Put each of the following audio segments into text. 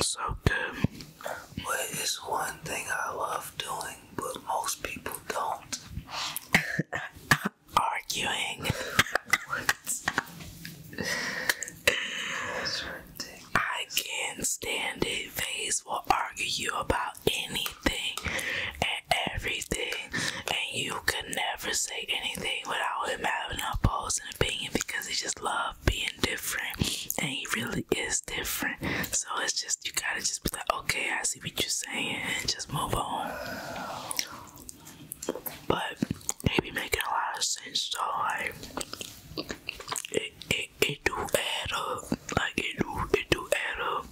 so good. it's one thing I love doing, but most people don't. Arguing. I can't stand it. FaZe will argue you about anything everything, and you could never say anything without him having a opposing opinion because he just love being different, and he really is different. So it's just you gotta just be like, okay, I see what you're saying, and just move on. But they making a lot of sense though, like it, it, it do add up, like it do, it do add up.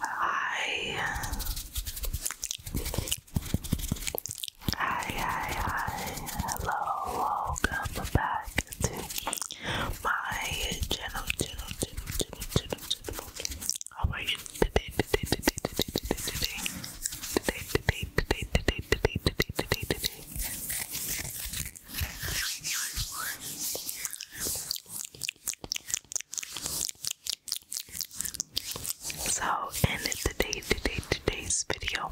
Hi. Hi, hi, Hello. Welcome back to my channel, channel, channel, channel, channel, channel. How are you so, in today's video,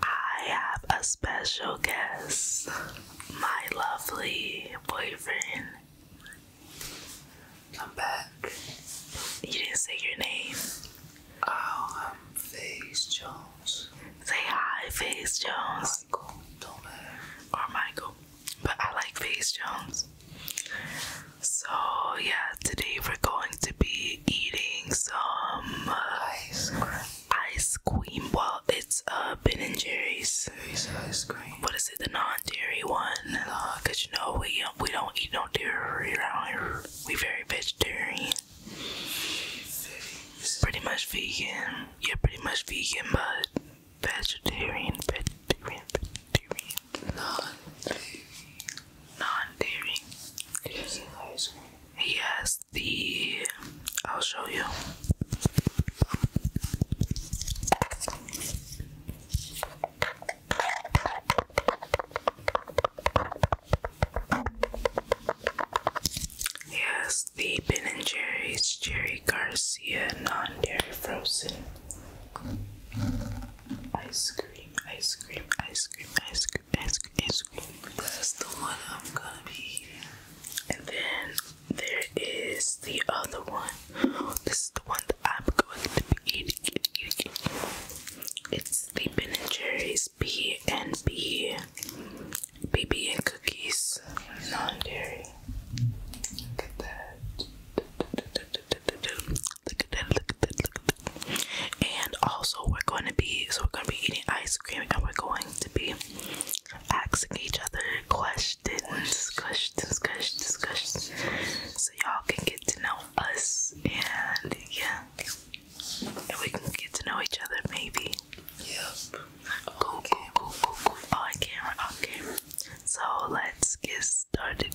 I have a special guest, my lovely boyfriend. I'm back. You didn't say your name. Oh, I'm FaZe Jones. Say hi, Face Jones. Michael, don't Or Michael. But I like Face Jones. So, yeah, today we're going to be eating some uh, ice cream. Ice cream. Well, it's uh, Ben and Jerry's. Jerry's ice cream. What is it? The non-dairy one? Because, you know, we, uh, we don't eat no dairy around here. We very vegetarian. Pretty much vegan. You're pretty much vegan, but vegetarian, vegetarian, vegetarian, non non-dairy. He the. I'll show you. He is the Ben and Jerry's Jerry Garcia non-dairy frozen ice cream, ice cream, ice cream, ice cream, ice cream, ice cream. That's the one I'm gonna be eating. And then there is the other one. This is the one that I'm going to be eating. It's the Ben and Jerry's B and B and cookies, non-dairy. Look at that, look at that, look at that. And also we're going to be, so we're going to be eating ice cream and we're going to be asking each other questions, questions, questions, questions. So y'all can get to know us and yeah. And we can get to know each other maybe. Yep. Cool, okay. So let's get started.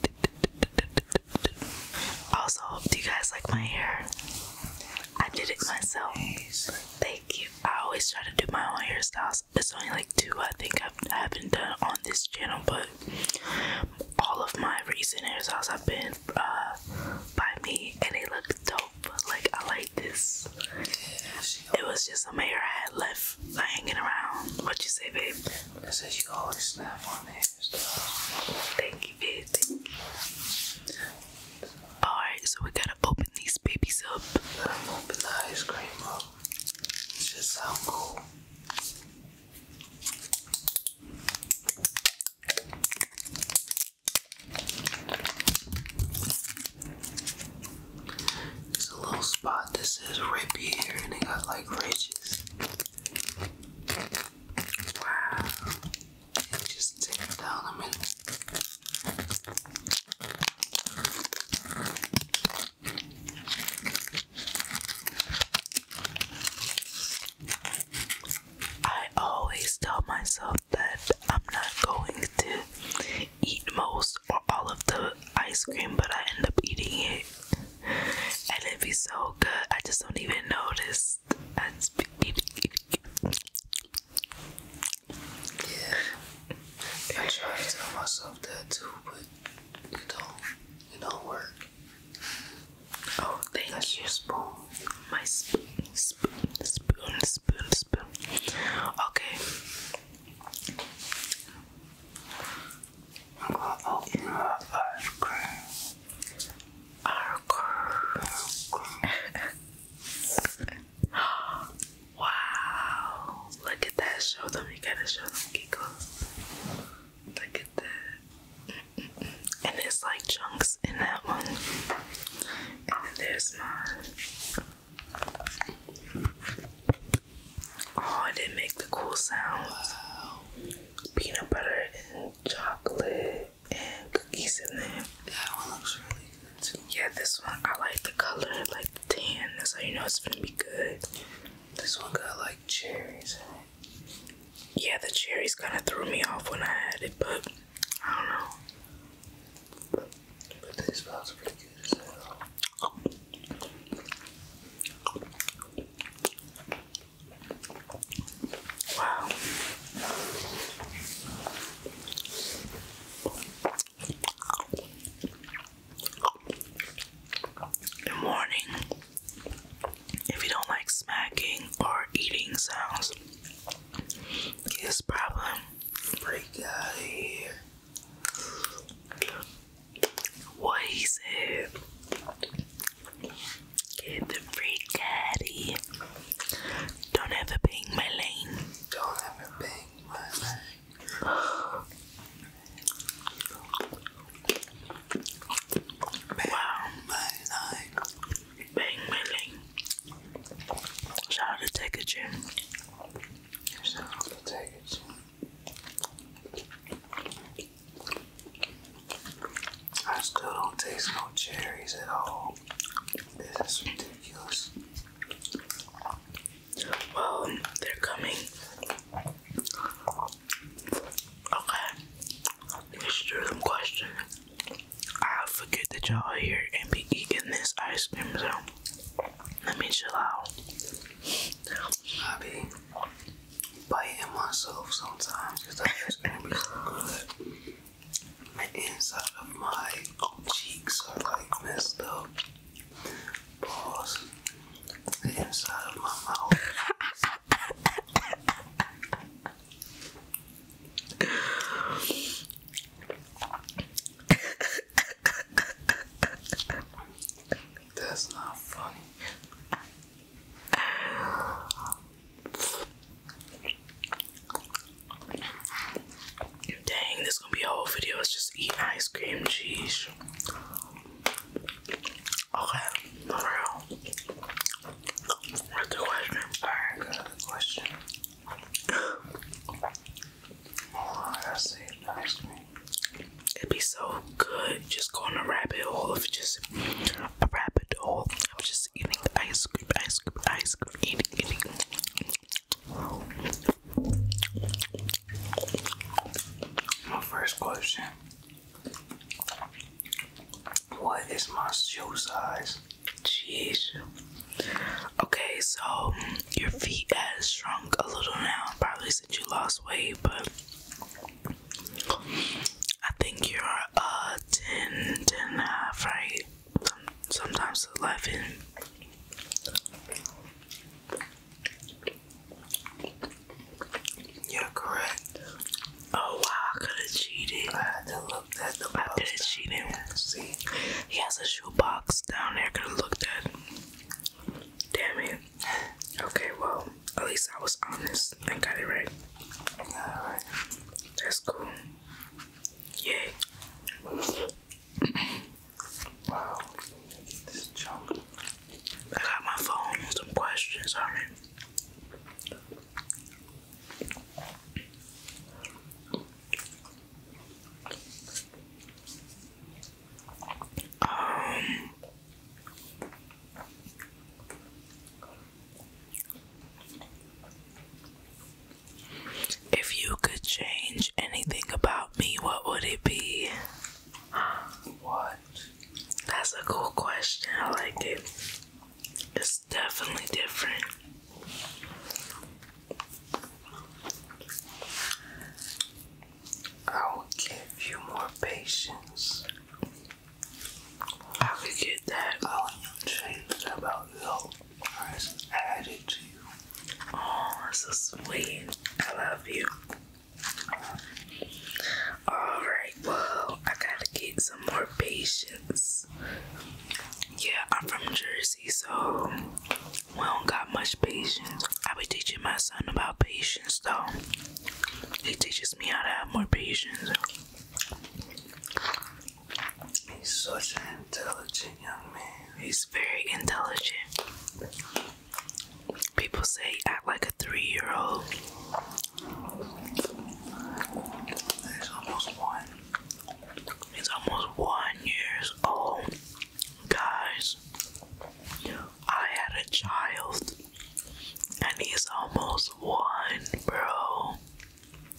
Also, do you guys like my hair? I did it myself. Thank you. I always try to do my own hairstyles. It's only like two I think I've, I haven't done on this channel, but all of my recent hairstyles have been uh, by me and they look dope. Like, I like this. it was just a mayor I had left hanging around. What you say, babe? I said she always snap on me. Thank you, babe. Alright, so we gotta open these babies up. open the ice cream up. It should sound cool. It's a little spot that says rip here and they got like ridges. Wow. just take it down a minute. I always tell myself that I'm not going to eat most or all of the ice cream, but I end up eating it. And it'd be so good. I just don't even notice. yeah. I try to tell myself that too, but it don't it don't work. Oh, thank your spoon. My spoon, spoon, spoon, spoon, spoon. Okay. I'm gonna open up ice cream. wow. Look at that. Show them. You gotta show them, Kiko. Look at that. And it's like chunks in that one. And there's mine. Oh, it didn't make the cool sound. Peanut butter and chocolate and cookies in there. That one looks really good Yeah, this one I like the color, like the tan. That's how you know it's gonna be good. This one got like cherries Yeah, the cherries kind of threw me off when I had it, but I don't know these vibes are pretty good as hell. Good morning. If you don't like smacking or eating sounds, it's probably break out of here. What he said. Get the free caddy. Don't ever bang my lane. Don't ever bang my lane. bang my lane. Bang my lane. Shout to Tekka i still don't taste no cherries at all. This is ridiculous. Well, they're coming. Okay. It's them question. I forget that y'all are here and be eating this ice cream, so let me chill out. I be biting myself sometimes because I just good. The inside of my cheeks are like messed up. Balls. The inside of my mouth. That's not funny. Dang, this is gonna be a whole video. It's just eating ice cream cheese. Okay, for real. What's the question? Alright, good question. It'd be so good just going a rabbit hole if just a rabbit hole. I was just eating ice cream, ice cream, ice cream, eating, eating. My first question What is my shoe size? Jeez. Okay, so your feet has shrunk a little now, probably since you lost weight, but I think you're uh 10, and a half, right? Sometimes 11. You're correct. Oh wow, I could have cheated. I had to look at the box. I did cheat him. Yeah, see? He has a shoebox down there, could have looked at Damn it. Okay, well, at least I was honest and got it right. That's cool. Yay. wow. This is junk. I got my phone and some questions on it. Um, if you could change anything about me, what would it be? What? That's a cool question. I like it. It's definitely different. I will give you more patience. I could get that on your change about your person added to you. Oh, so sweet. I love you. Alright, well, I gotta get some more patience. Yeah, I'm from Jersey, so we do got much patience. I be teaching my son about patience though. He teaches me how to have more patience. He's such an intelligent young man. He's very intelligent. People say he act like a three-year-old. He's almost one. He's almost one years old. Guys, I had a child and he's almost one, bro.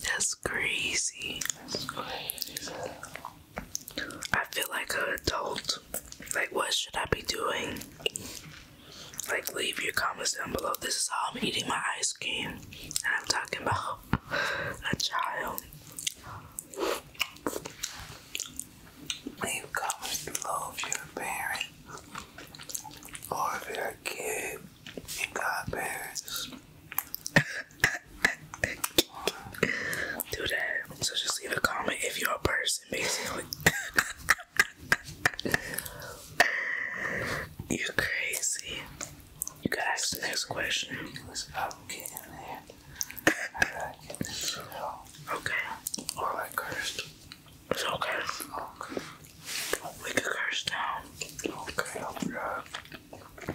That's crazy. I feel like an adult. Like, what should I be doing? Like, leave your comments down below. This is how I'm eating my ice cream, and I'm talking about a child leave comments below if you're a parent or if you're a kid and godparents. Do that. So just leave a comment if you're a person, basically. you are crazy. You got to ask the next question. Okay. All that cursed. It's okay. Okay. We can curse down. Okay, I'll be right.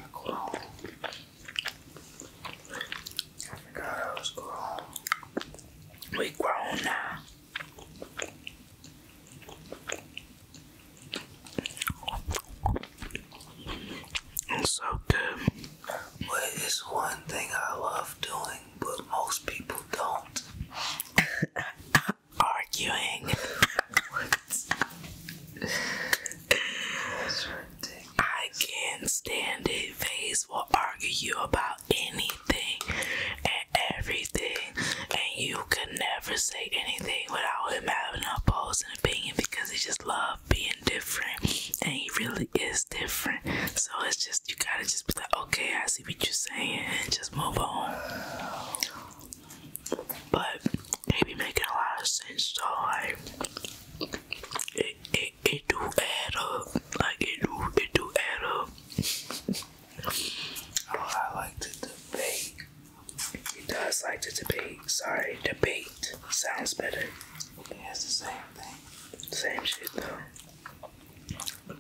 I forgot I was grown. We grown now. It's so good. But it's one thing I love doing, but most people don't. Arguing. I can't stand it. FaZe will argue you about anything and everything, and you could never say anything without him having an opposing opinion because he just loves being different, and he really is different. So it's just you gotta just be like, okay, I see what you're saying, and just move on. But they making a lot of sense, so like it, it, it do add up. Like it do, it do add up. oh, I like to debate. He does like to debate. Sorry, debate sounds better. He the same thing. Same shit though.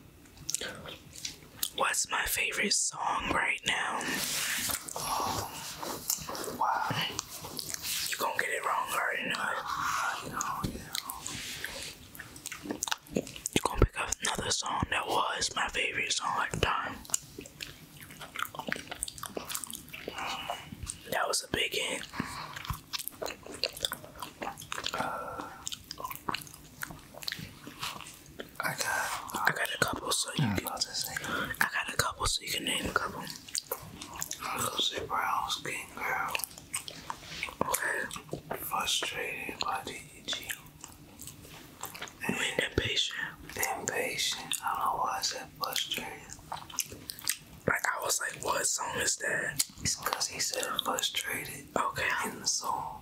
What's my favorite song right now? wow. You going get it wrong, I already You going pick up another song that was my favorite song at the time. That was a big hit. Uh, I got, I got a couple, so you mm, can. I got a couple, so you can name a couple. I was gonna say brown skin girl. Okay. Frustrated by the EG. And impatient. Impatient. I don't know why I said frustrated. Like I was like, what song is that? It's cause he said Let's Trade It. Okay. In the song.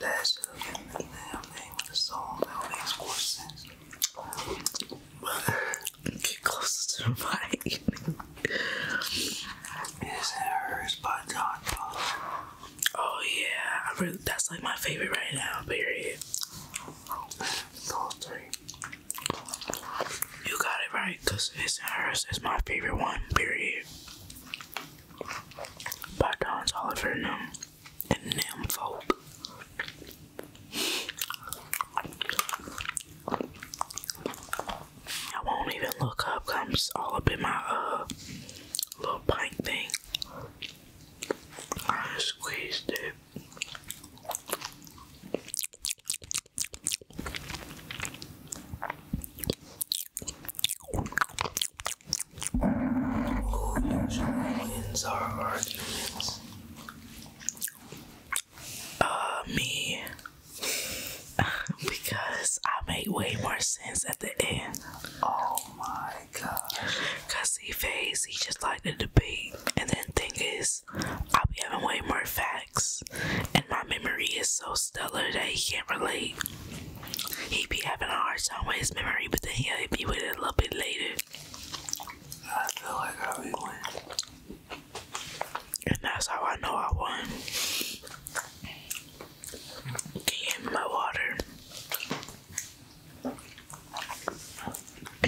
That should have been the damn name of the song. That makes more sense. Get closer to the mic. It's Hers by John Oh yeah, I really, that's like my favorite right now, period. Those three. You got it right, cause his hers is my favorite one, period. By Oliver Num I won't even look up, because all up in my uh, little pint thing. I squeezed it. Who wins our arguments? Uh, me. because I made way more sense at the end. Oh my gosh. Cause he face, he just like to debate. And then thing is, I'll be having way more facts, and my memory is so stellar that he can't relate. He be having a hard time with his memory, but then he'll be with it a little bit later. I feel like I'll And that's how I know I won. Can you hand me my water?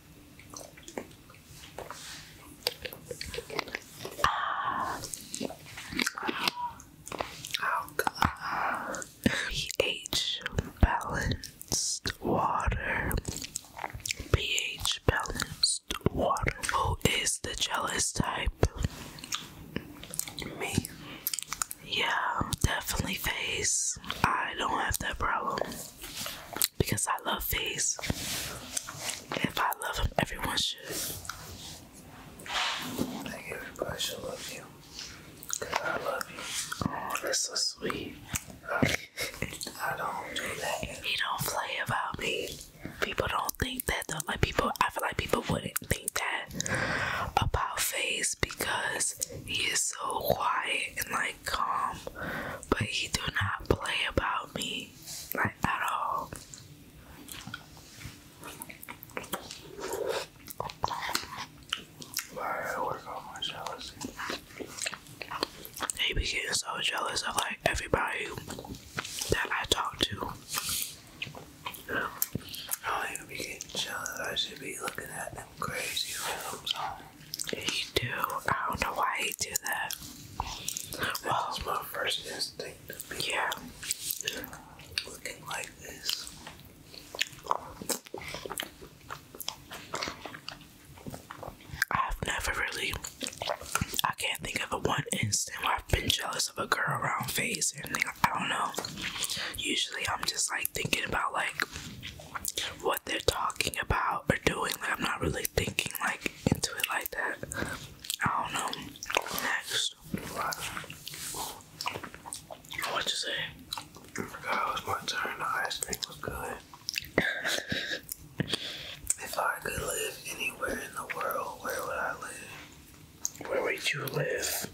Uh, oh god. pH balanced water. pH balanced water. Who is the jealous type? Me. Yeah, definitely face. I don't have that problem because I love face. If I love him, everyone should. Like everybody love you. Cause I love you. Oh, that's so sweet. I, don't do that. He don't play about me. People don't think that though. Like people, I feel like people wouldn't think that about Face because he is so quiet and like calm, but he do not play about me like at all. I work on my jealousy. He be getting so jealous of like everybody that I talk to. I be getting jealous. I should be looking at them crazy films you do. I don't know why you do that. That well, was my first instinct. Yeah. Looking like this. I've never really. I can't think of a one instant where I've been jealous of a girl around face or anything. I don't know. Usually I'm just like thinking about like. What they're talking about or doing. I'm not really thinking like into it like that. I don't know. Next, what you say? I forgot it was my turn. The ice cream was good. if I could live anywhere in the world, where would I live? Where would you live?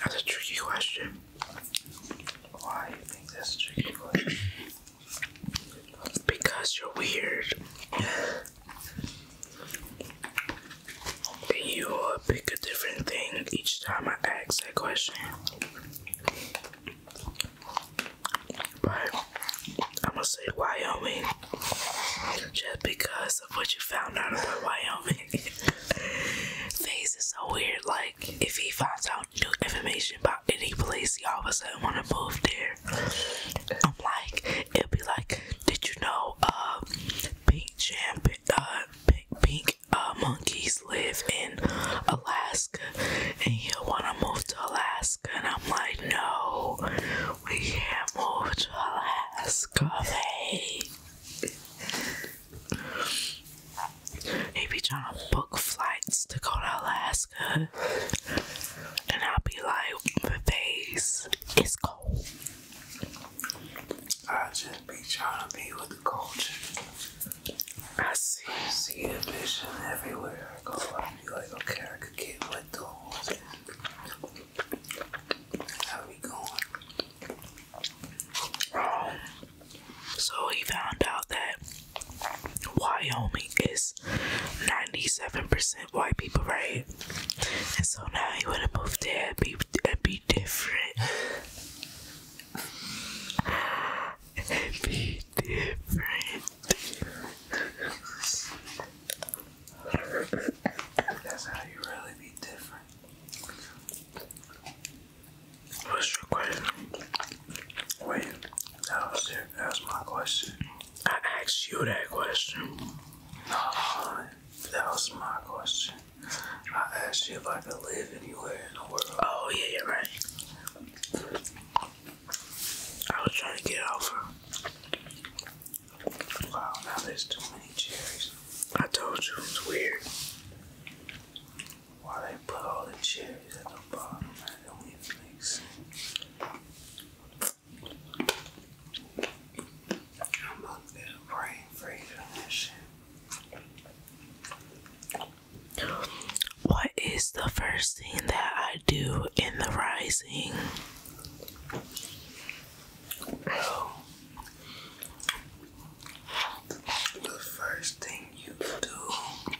That's a tricky question. Why do you think this is tricky Because you're weird. you pick a different thing each time I ask that question. But I'm gonna say Wyoming just because of what you found out about Wyoming. Face is so weird. Like, if he finds out new information about any place, he all of a sudden want to move there. I'm like, it'll be like, did you know, uh, pink champ, uh, pink, uh, monkeys live in Alaska, and he'll want to move to Alaska, and I'm like, no, we can't move to Alaska, babe. He be trying to book flights to go to Alaska, and I'll be like, the "Face, is cold." I just be trying to be with the culture. I see. I see the vision everywhere I go. I be like, okay, I could get with those. So he found out that Wyoming is 97% white people, right? And so now he would to move there and be, be different. and be different. That's how you really be different. What's your question? Wait, that was it. That's my question. I asked you that question. No, that was my question. I asked you if I could live anywhere in the world. Oh yeah, you're right. I was trying to get off Wow, now there's too many cherries. I told you it's weird. Why they put all the cherries at the bottom? That don't sense. I'm not gonna brain freeze on that shit. What is the first thing that I do in the rising? Oh, the first thing you do,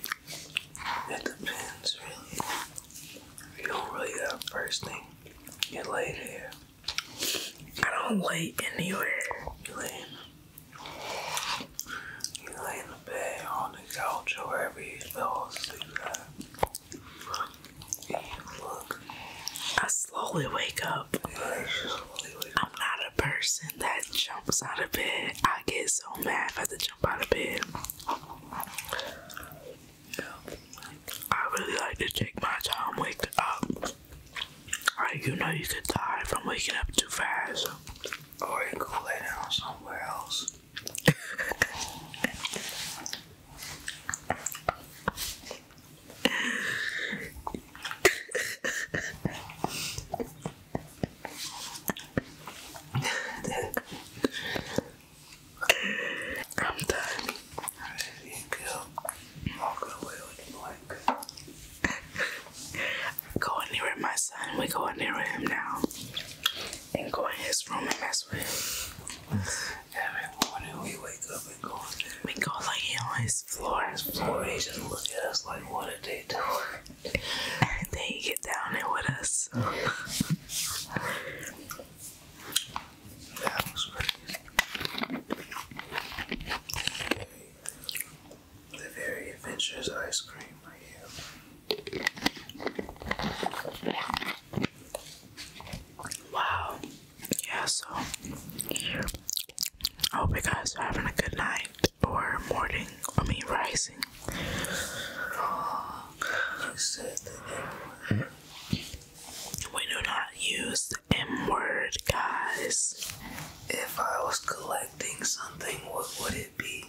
it depends really. You don't really got first thing. You lay there. I don't lay anywhere. You lay in the, you lay in the bed, on the couch, or wherever you fell asleep at. I slowly wake up. I'm not a person that jumps out of bed. I get so mad if I to jump out of bed. I really like to take my time waking up. Like, you know, you could die from waking up too fast. Or you could lay down somewhere else. I'm done. There away with black. go in there with my son. We go in there with him now. And go in his room and mess with him. Every morning we wake up and go in there. We go lay on his floor. His floor, he just look at us like, what did they do? and then he get down here with us. The very, adventurous ice cream Wow yeah, so I hope you guys are having a good night or morning. I mean, rising. We do not use M word, guys. If I was collecting something, what would it be?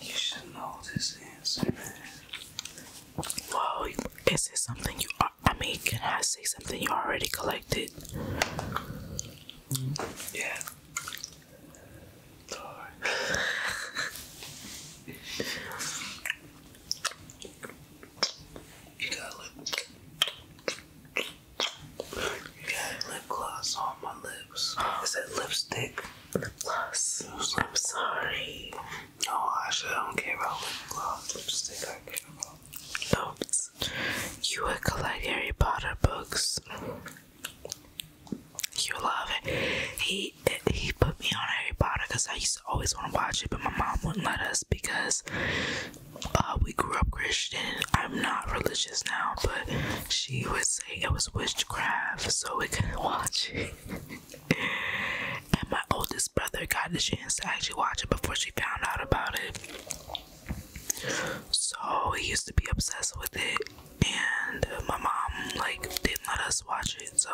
You should know this answer, man. Well, is it something you I mean, can I say something you already collected? Yeah. you got lip. You got lip gloss on my lips. Is that lipstick? Lip gloss. I'm sorry. No, I don't care about lip gloss, lipstick. I care about notes. You would collect Harry Potter books. You love it. He he put me on Harry Potter because I used to always want to watch it, but my mom wouldn't let us because uh, we grew up Christian. I'm not religious now, but she would say it was witchcraft, so we couldn't watch it and my oldest brother got the chance to actually watch it before she found out about it. So he used to be obsessed with it, and my mom like didn't let us watch it. So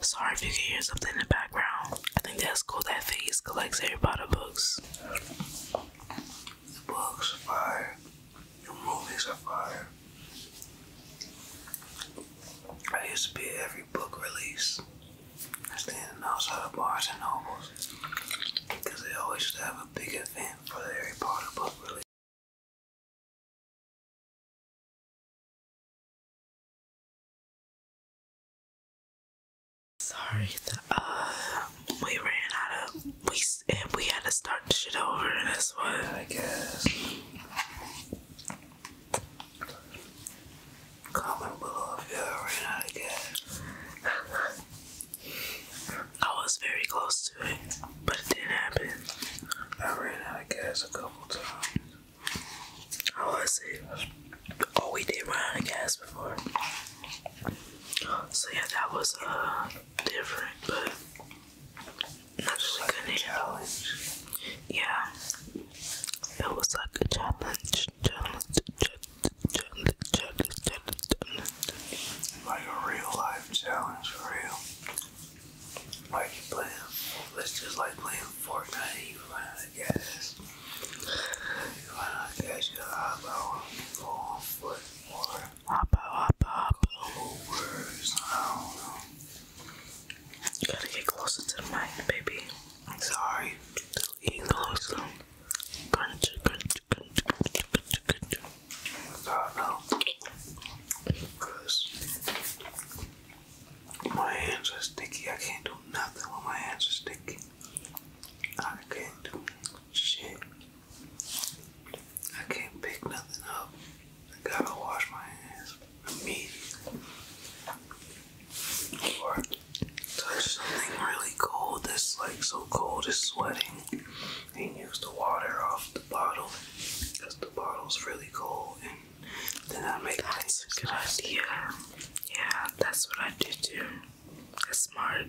sorry if you can hear something in the background. I think that's cool that Phase collects Harry Potter books. books are fire. Your movies are fire. I used to be an book release. I standing outside of Barnes and Nobles because they always have a big event for the Harry Potter book release. Sorry, the, uh, we ran out of we and we had to start shit over. That's what I guess. Comment below if you ever ran out of gas. I was very close to it, but it didn't happen. I ran out of gas a couple times. I was to oh, we did run out of gas before. So yeah, that was uh different, but not just a good challenge. Yeah. It was like a challenge, challenge, challenge, challenge, challenge, challenge. Like a real life challenge for real. Like playing, it's just like playing Fortnite, you run out of You run out of gas, you out, go foot, or hop out, hop Over, I don't know. You gotta get closer to the baby. Sorry, still eating Because my hands are sticky. I can't do nothing when my hands are sticky. I can't do shit. I can't pick nothing up. I gotta wash my hands immediately. Or touch something really cold that's like so cold it's sweating and use the water off the bottle because the bottle's really cold and then I make that's a good idea. Yeah, that's what I do too. It's smart.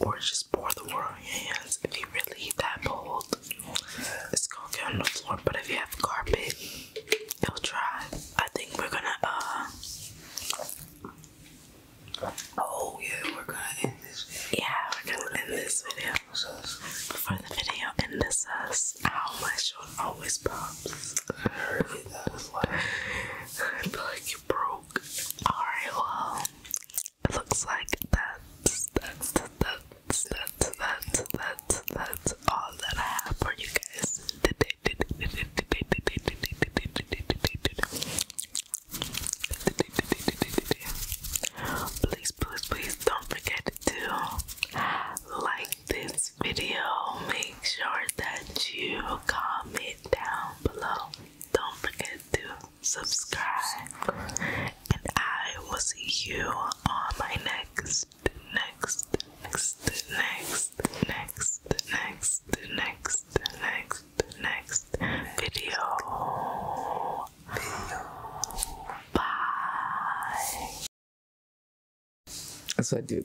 Or just pour the water on your hands if you really that bold. It's gonna get on the floor, but if you have carpet, I'll try. I think we're gonna uh oh yeah, we're gonna end this video. Yeah, we're gonna end this video. Before the video end this us ow my shoulder always pops. I heard that was I feel like you broke. Alright, well it looks like that's that's that's that's that's that's that's all that I have for you guys Please, please, please don't forget to like this video. Make sure that you comment down below. Don't forget to subscribe, and I will see you on my next next, next, next, next, next, next, next, next, video. Bye. That's what I do.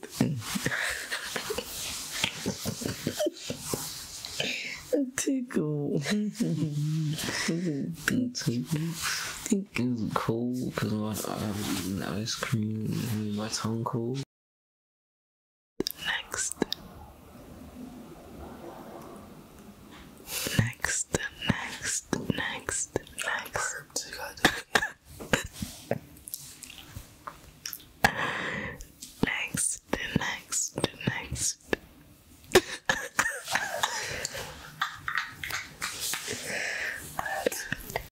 Tickle. Tickle's cool because i my um, ice cream made my tongue cold. Next, next, next, next, next. next, next, next.